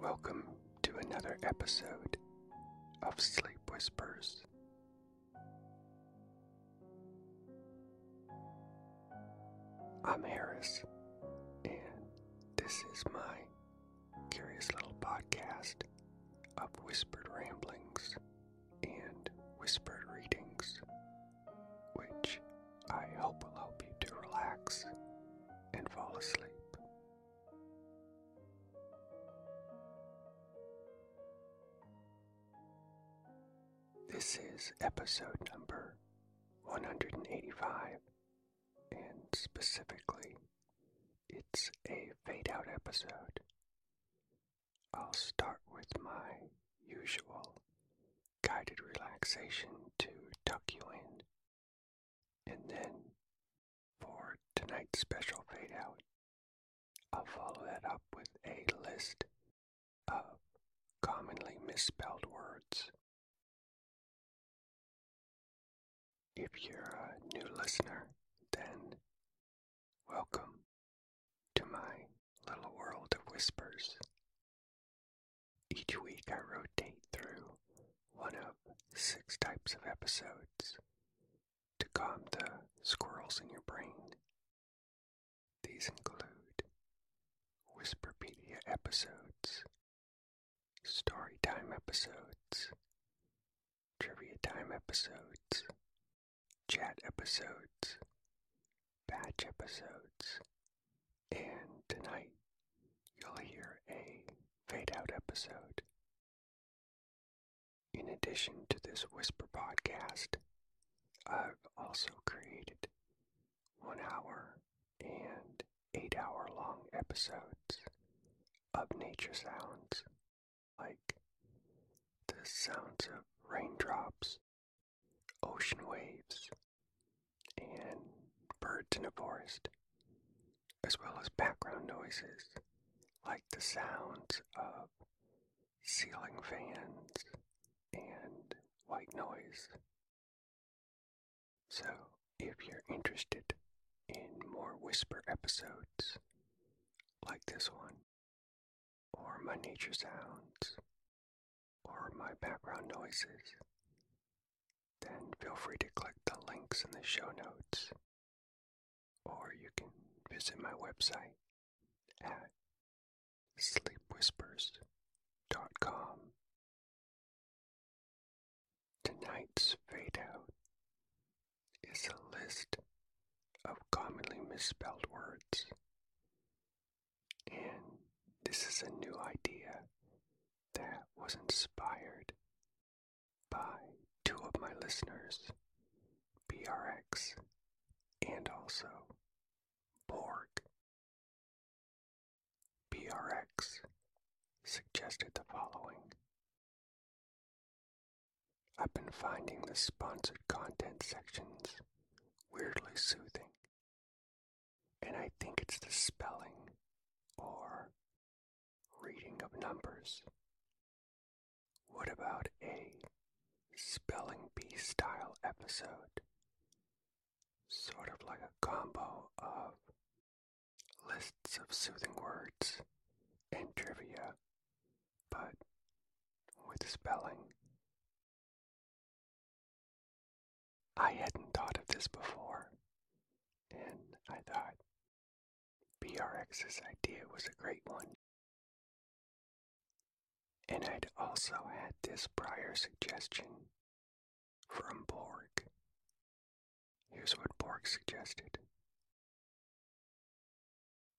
Welcome to another episode of Sleep Whispers. I'm Harris, and this is my curious little podcast of whispered ramblings and whispered readings, which I hope will help you to relax and fall asleep. This is episode number 185, and specifically, it's a fade out episode. I'll start with my usual guided relaxation to tuck you in. And then for tonight's special fade out, I'll follow that up with a list of commonly misspelled words. If you're a new listener, then Welcome to my little world of whispers. Each week I rotate through one of six types of episodes to calm the squirrels in your brain. These include Whisperpedia episodes, story episodes, trivia time episodes, chat episodes, batch episodes, and tonight you'll hear a fade out episode. In addition to this Whisper podcast, I've also created one hour and eight hour long episodes of nature sounds like the sounds of raindrops, ocean waves, and birds in a forest, as well as background noises like the sounds of ceiling fans and white noise. So, if you're interested in more whisper episodes like this one, or my nature sounds, or my background noises, then feel free to click the links in the show notes, or you can visit my website at sleepwhispers.com. Tonight's fade out is a list of commonly misspelled words. And this is a new idea that was inspired by two of my listeners, BRX and also Borg. BRX suggested the following I've been finding the sponsored content sections weirdly soothing. And I think it's the spelling or reading of numbers. What about a spelling bee style episode? Sort of like a combo of lists of soothing words and trivia but with spelling. I hadn't thought of this before, and I thought BRX's idea was a great one. And I'd also had this prior suggestion from Borg. Here's what Borg suggested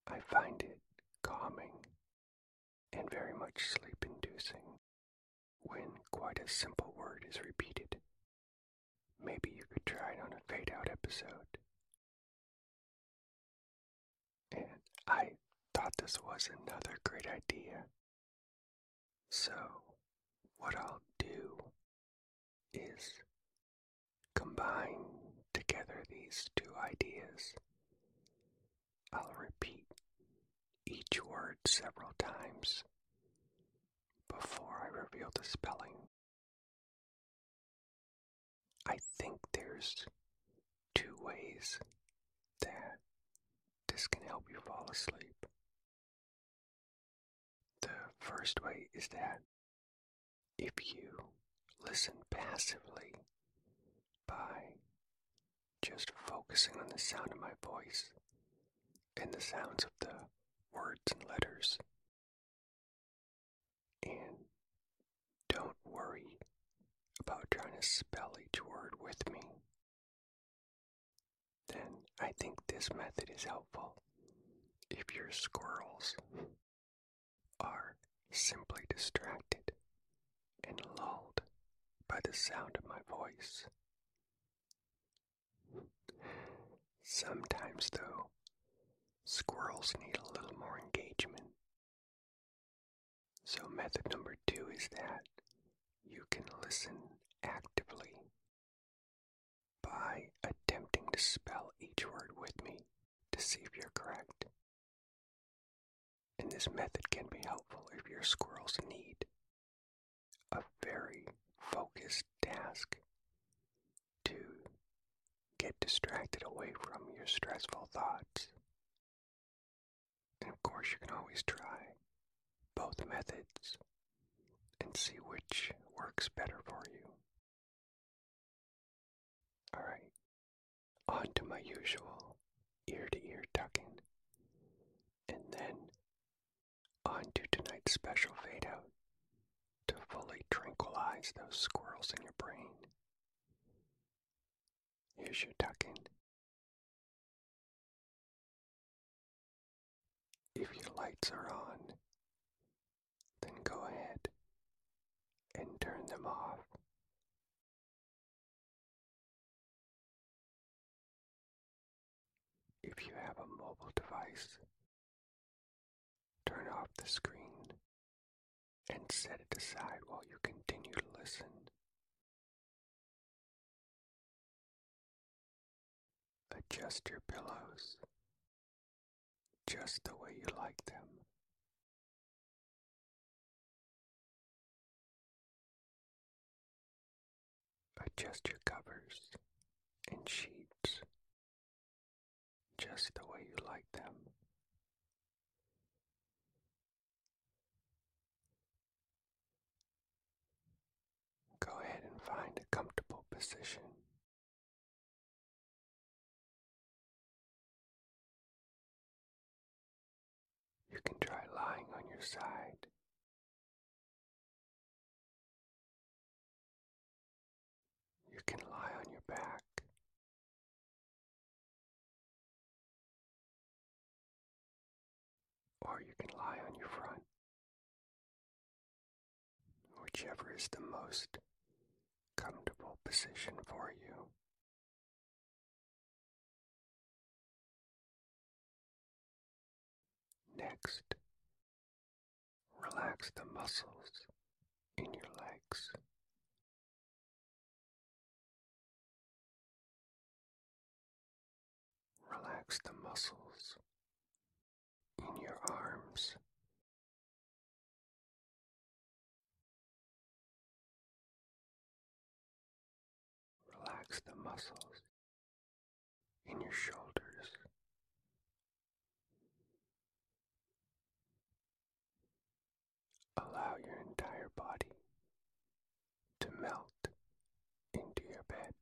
I find it calming and very much sleep inducing when quite a simple word is repeated. Maybe you could try it on a fade out episode. And I thought this was another great idea. So, what I'll do is Combine together these two ideas. I'll repeat each word several times before I reveal the spelling. I think there's two ways that this can help you fall asleep. The first way is that if you listen passively by just focusing on the sound of my voice and the sounds of the words and letters, and don't worry about trying to spell each word with me, then I think this method is helpful if you're squirrels are simply distracted and lulled by the sound of my voice. Sometimes, though, squirrels need a little more engagement. So, method number two is that you can listen actively by attempting to spell each word with me to see if you're correct. And this method can be helpful if your squirrels need a very focused task to get distracted away from your stressful thoughts. And of course, you can always try both methods and see which works better for you. All right, on to my usual ear to ear tucking, and then on to tonight's special fade out to fully tranquilize those squirrels in your brain. Here's your tucking. If your lights are on, then go ahead and turn them off. If you have a mobile device, turn off the screen and set it aside while you continue to listen. Adjust your pillows just the way you like them. Adjust your covers and sheets just the way you like them. Go ahead and find a comfortable position you can try lying on your side. You can lie on your back. Or you can lie on your front. Whichever is the most comfortable position for you. Next, relax the muscles in your legs. Relax the muscles in your arms Relax the muscles in your shoulders. Allow your entire body to melt into your bed.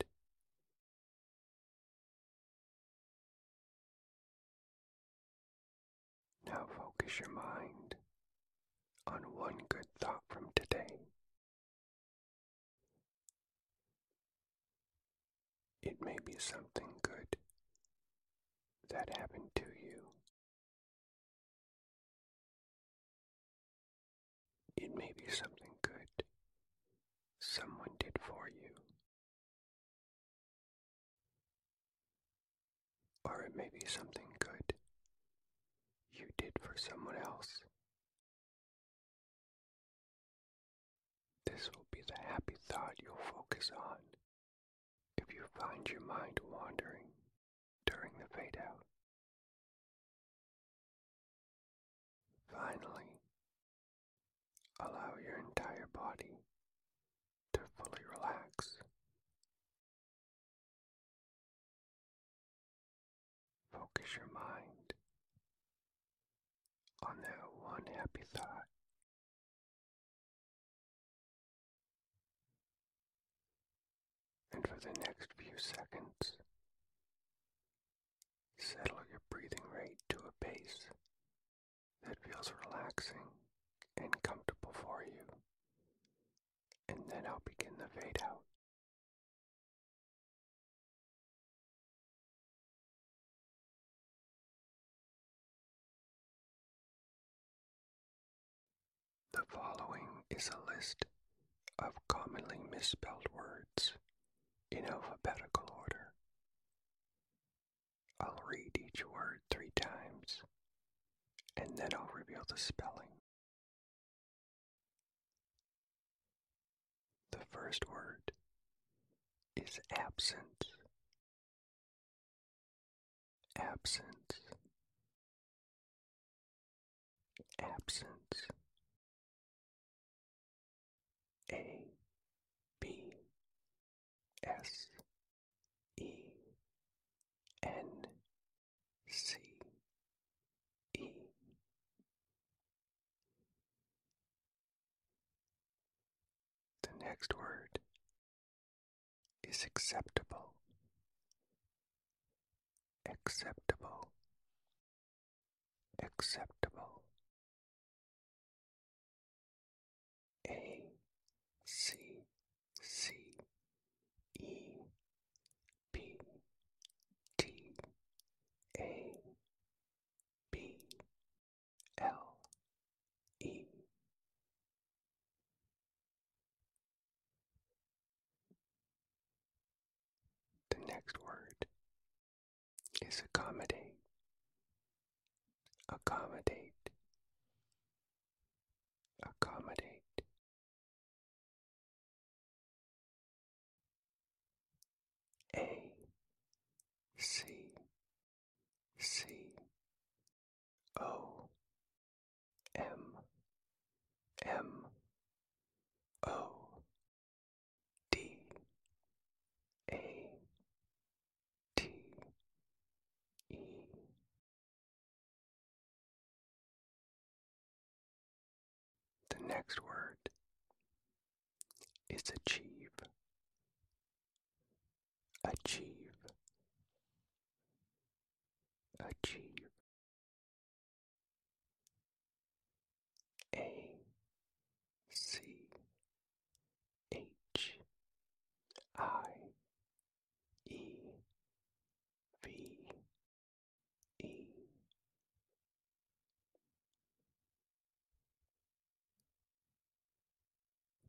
Now focus your mind on one good thought from today. It may be something good that happened to you. It may be something good someone did for you. Or it may be something good you did for someone else. This will be the happy thought you'll focus on if you find your mind wandering during the fade out. Finally, Allow your entire body to fully relax. Focus your mind on that one happy thought. And for the next few seconds, settle your breathing rate to a pace that feels relaxing and comfortable for you. And then I'll begin the fade out. The following is a list of commonly misspelled words in alphabetical order. I'll read each word three times, and then I'll reveal the spelling. The first word is "absent." Absent. Absent. A. B. S E N C E The next word is acceptable. Acceptable. Acceptable. A C C E P T A B L E The next word is accommodate accommodate accommodate a c c o m m o d a T E The next word is achieve. Achieve. Achieve. A C H I E V E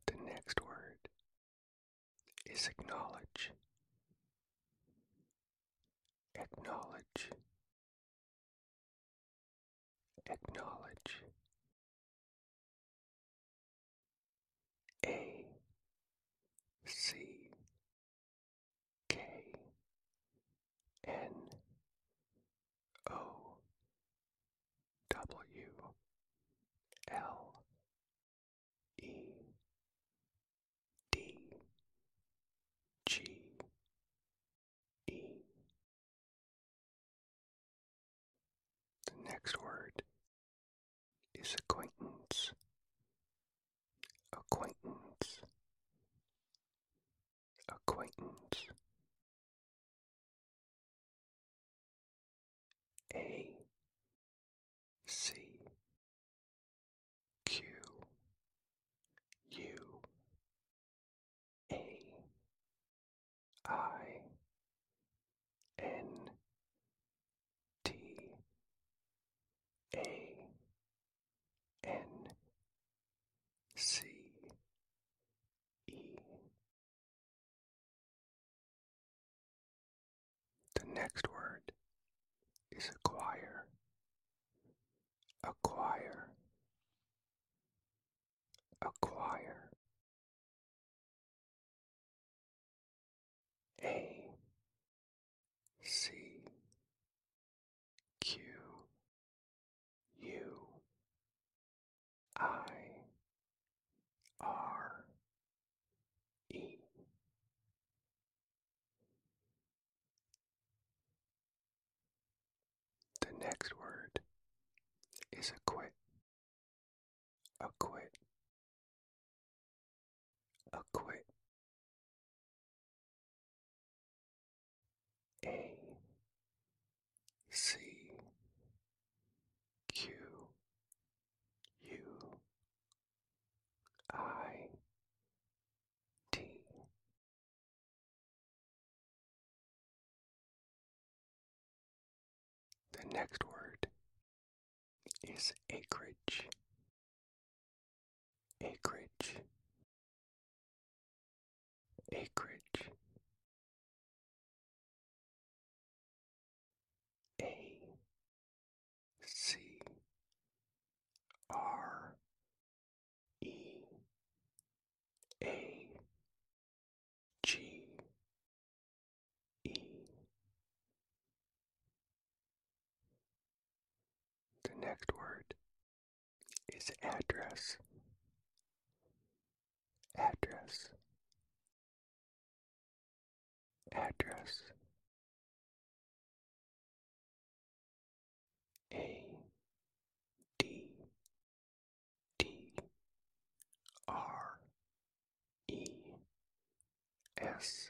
The next word is acknowledge. Acknowledge acknowledge A C K N O W L E D G E the next word is acquaintance. Acquaintance. Acquaintance. A. C. Q. U. A I N T A N C E The next word is acquire acquire acquire a C Q U I R E The next word is acquit acquit quit a c q u i t the next word is acreage. Acreage. Acreage. A C R E A G E The next word is address. Address. Address. A D D R E S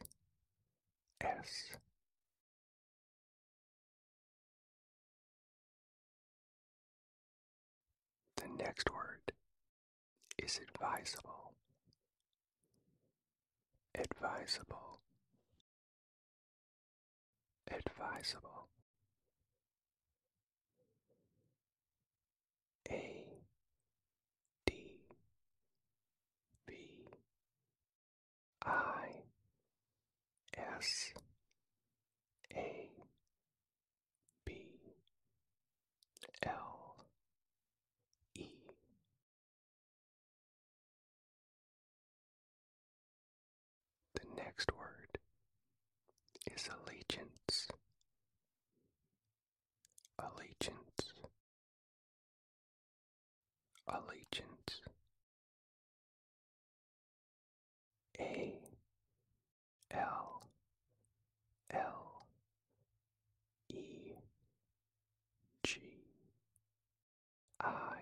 S The next word is advisable. Advisable. Advisable. A D B I S A B L E The next word is allegiance. Allegiance. Allegiance. A L L E G I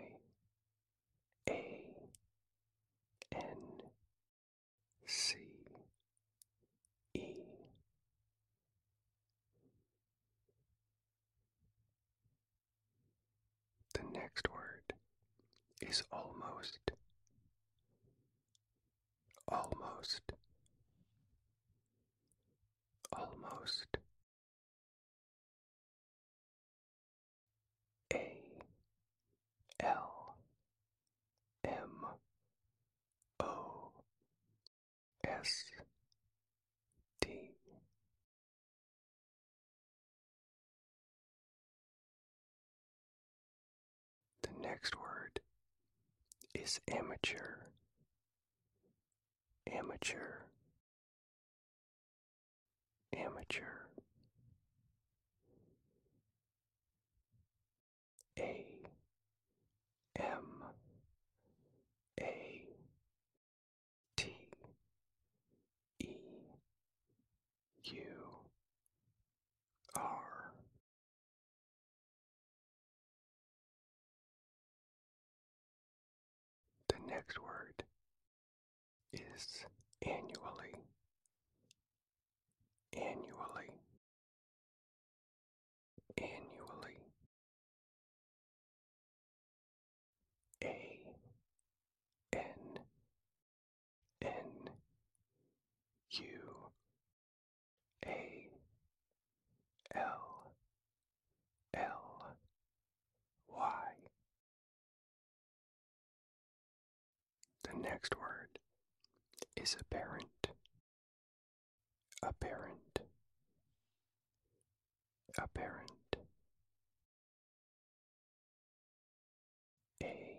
A N C E The next word is almost almost almost A L M O S T The next word is amateur. Amateur. Amateur. A M A T E U R The next word is annually annually annually a n n u a l l y the next word is apparent. Apparent. Apparent. A.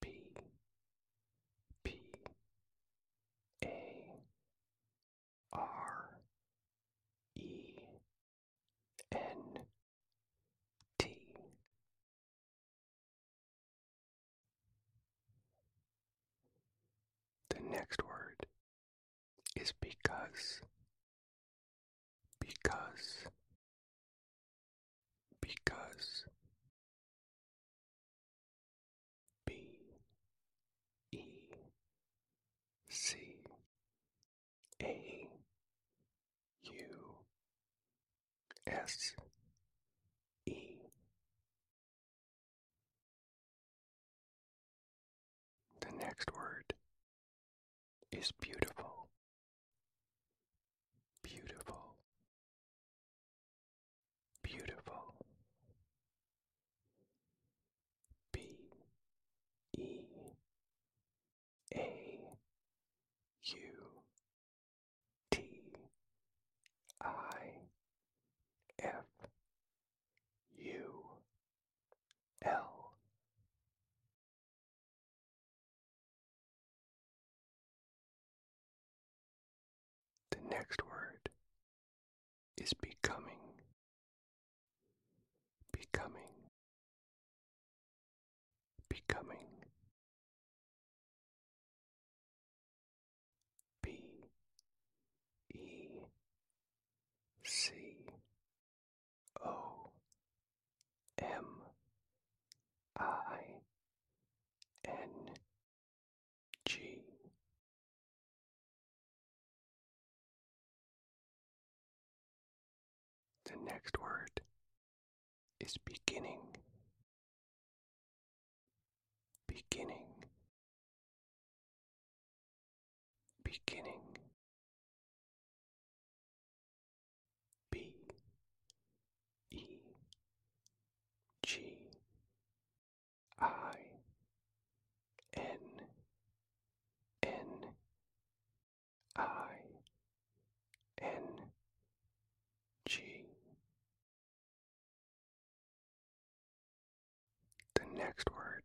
P. P. A. R. E. N. T The next word is because because because B E C A U S E The next word is beautiful. Beautiful. Beautiful. B E a U T I F U L The next word is becoming. Becoming becoming B E C O M I N G the next word is beginning. Beginning. Beginning. B. E. G. I. N. N. I N G. The next word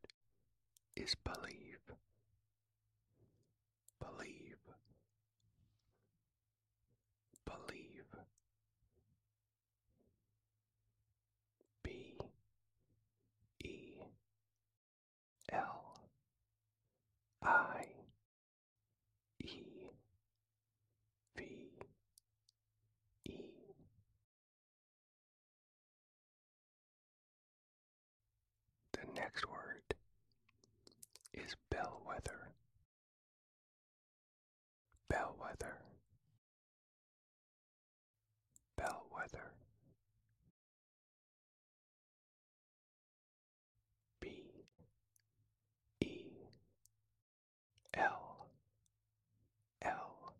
is believe. Believe. Believe. B E L I E V E The next word is bellwether. Bellwether. Bellwether. B E L L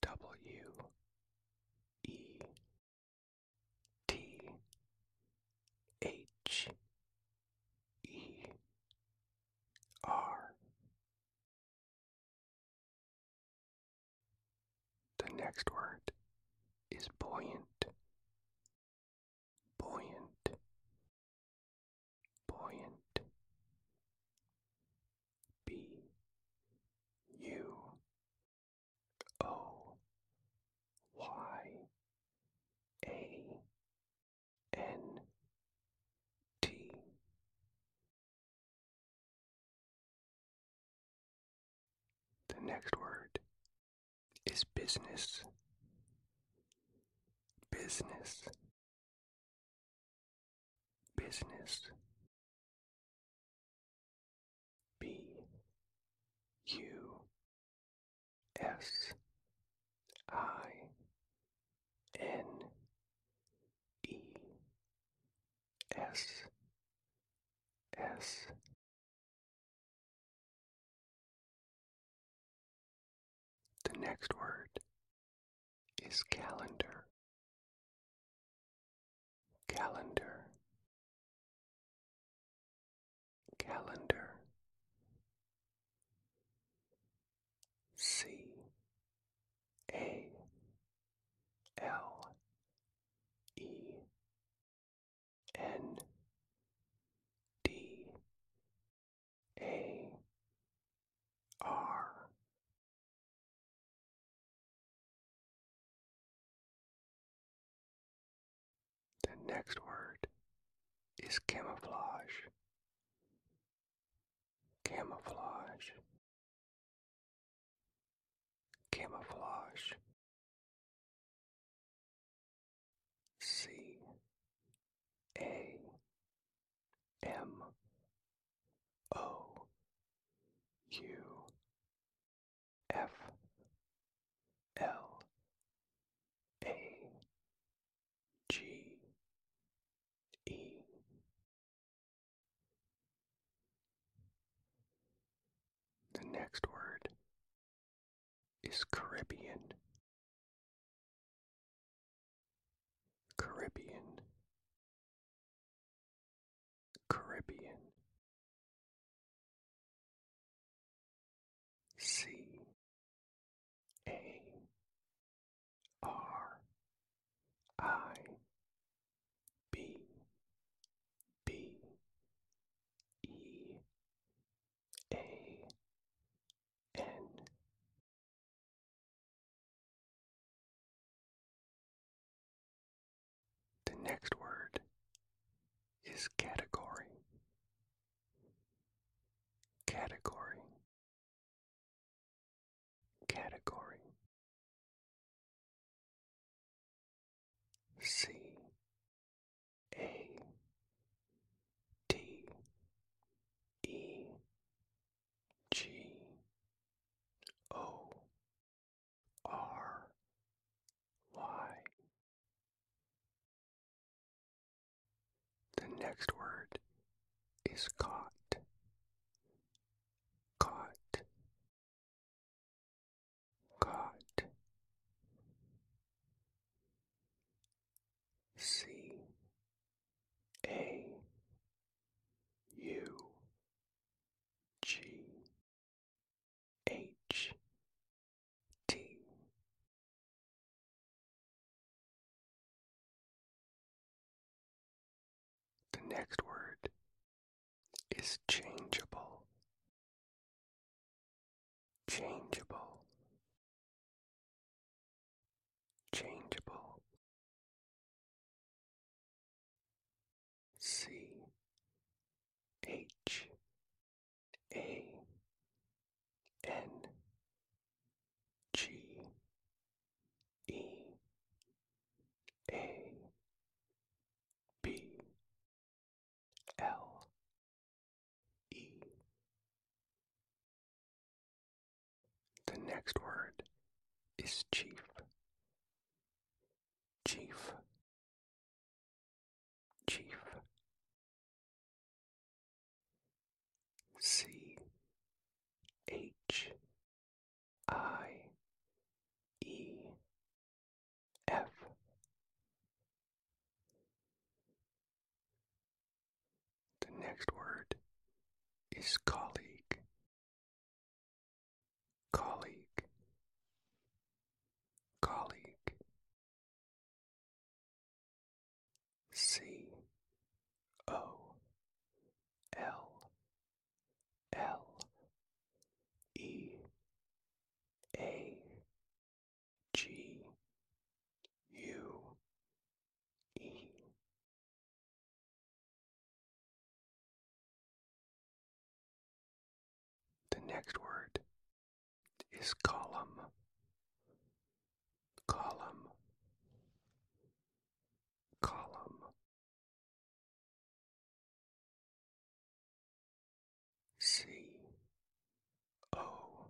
W E T H E R The next word is buoyant buoyant, buoyant. B U O Y A N T the next word is business. Business. Business. B U S I N E S S the next word is calendar. Calendar. Calendar. C A L E N D A R The next word is camouflage. Camouflage. Camouflage. C A M O U F L A G E The next word is Caribbean. Caribbean. Caribbean. C A R I B B E A N The next word is category. Category. Category. C A T E G O R Y. The next word is caught. Caught God C A U G H T The next word is changeable changeable, changeable, C H A N G E A B L E. The next word is chief. Chief. Chief. C H I E F. The next word is colleague. Colleague. Colleague. C. O. L. L. E. A. G U E The next word is column, column, column. C O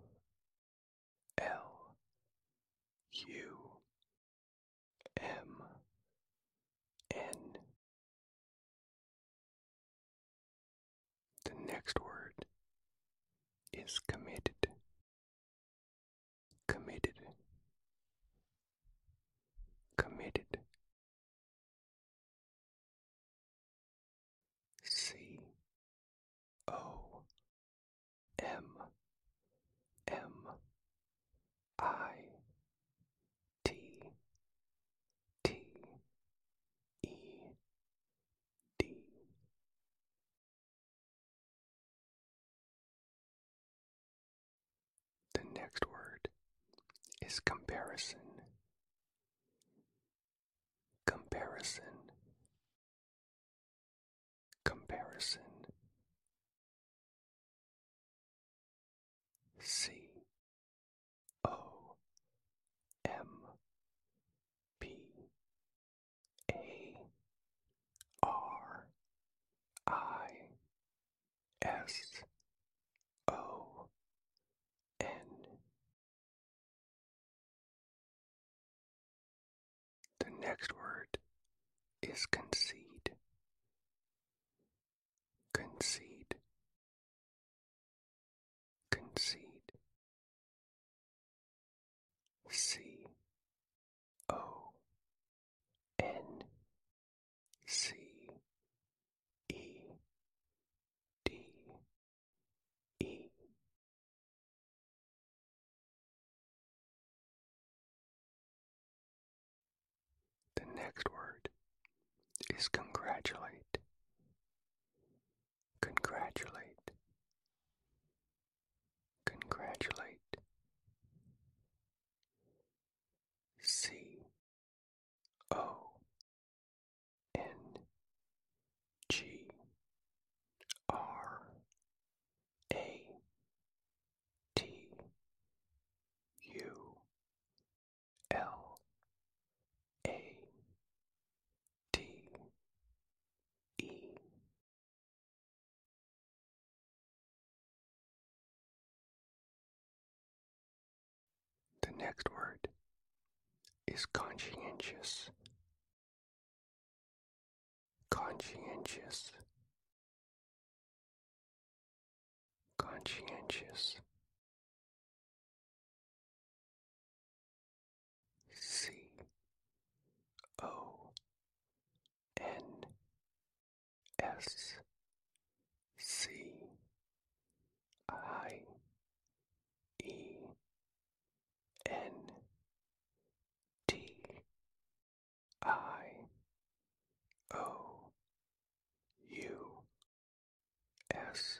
L U M N. The next word is committed. Committed. Committed C O M M I T T E D The next word is comparison. Comparison. Comparison. C O M P A R I S O N the next word is concede. Concede. Concede. C O N C E D E The next word is congratulate. Congratulate. Congratulate. C O N G R A T U L A D E the next word is conscientious. Conscientious. Conscientious. C O N S C I E N T I O U S.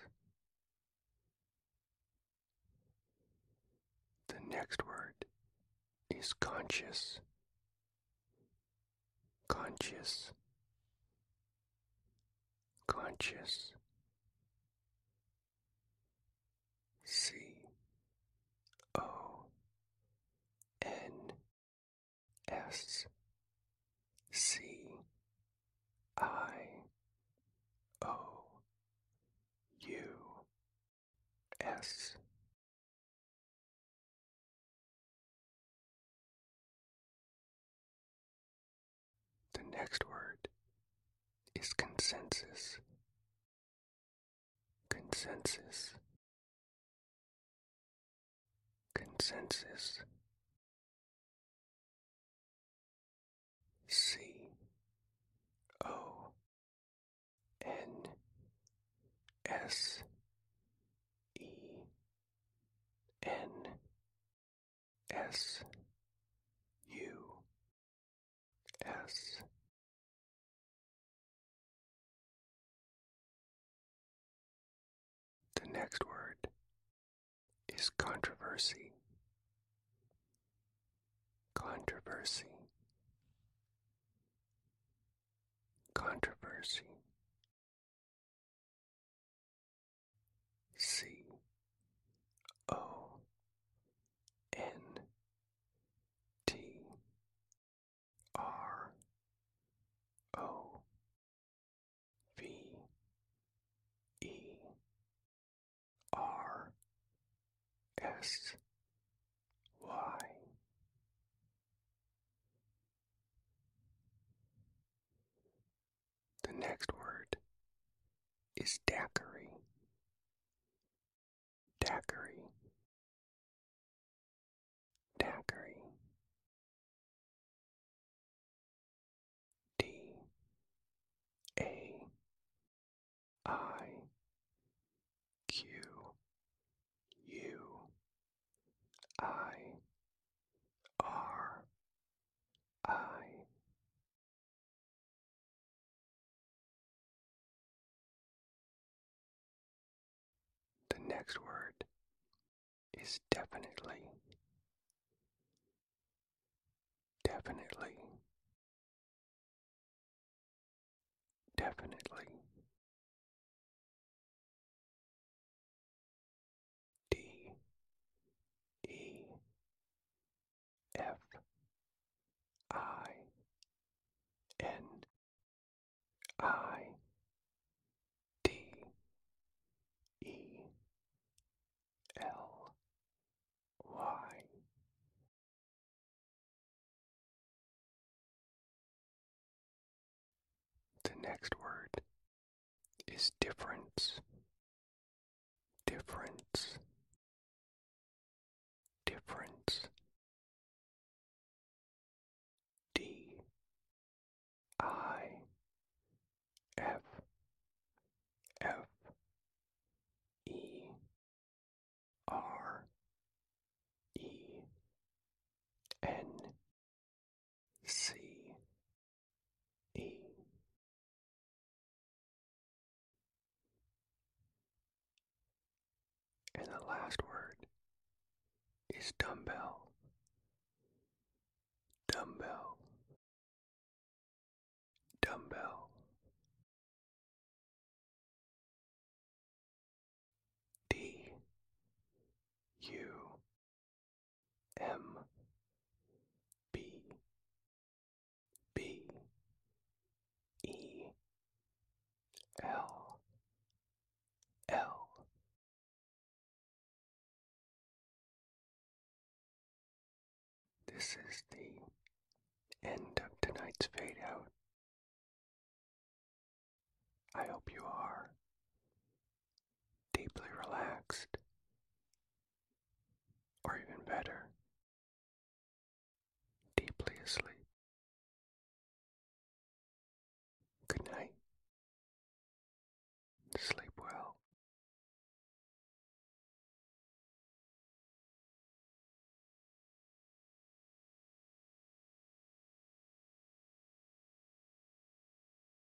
The next word is conscious. Conscious conscious C O N S C I O U S the next word is consensus. Consensus. Consensus. C O N S E N S U S The next word is controversy. Controversy. Controversy C O N T R O V E R S Y the next word is daiquiri. Daiquiri. Daiquiri. D A I Q U I R I the next word is definitely. Definitely. Definitely. D E F I N I D E L Y The next word is difference, difference, difference. D I F F E R E N C E and the last word is dumbbell dumbbell dumbbell D U M B B E L L This is the end of tonight's fade out. I hope you are deeply relaxed, or even better, deeply asleep. Good night. Sleep well.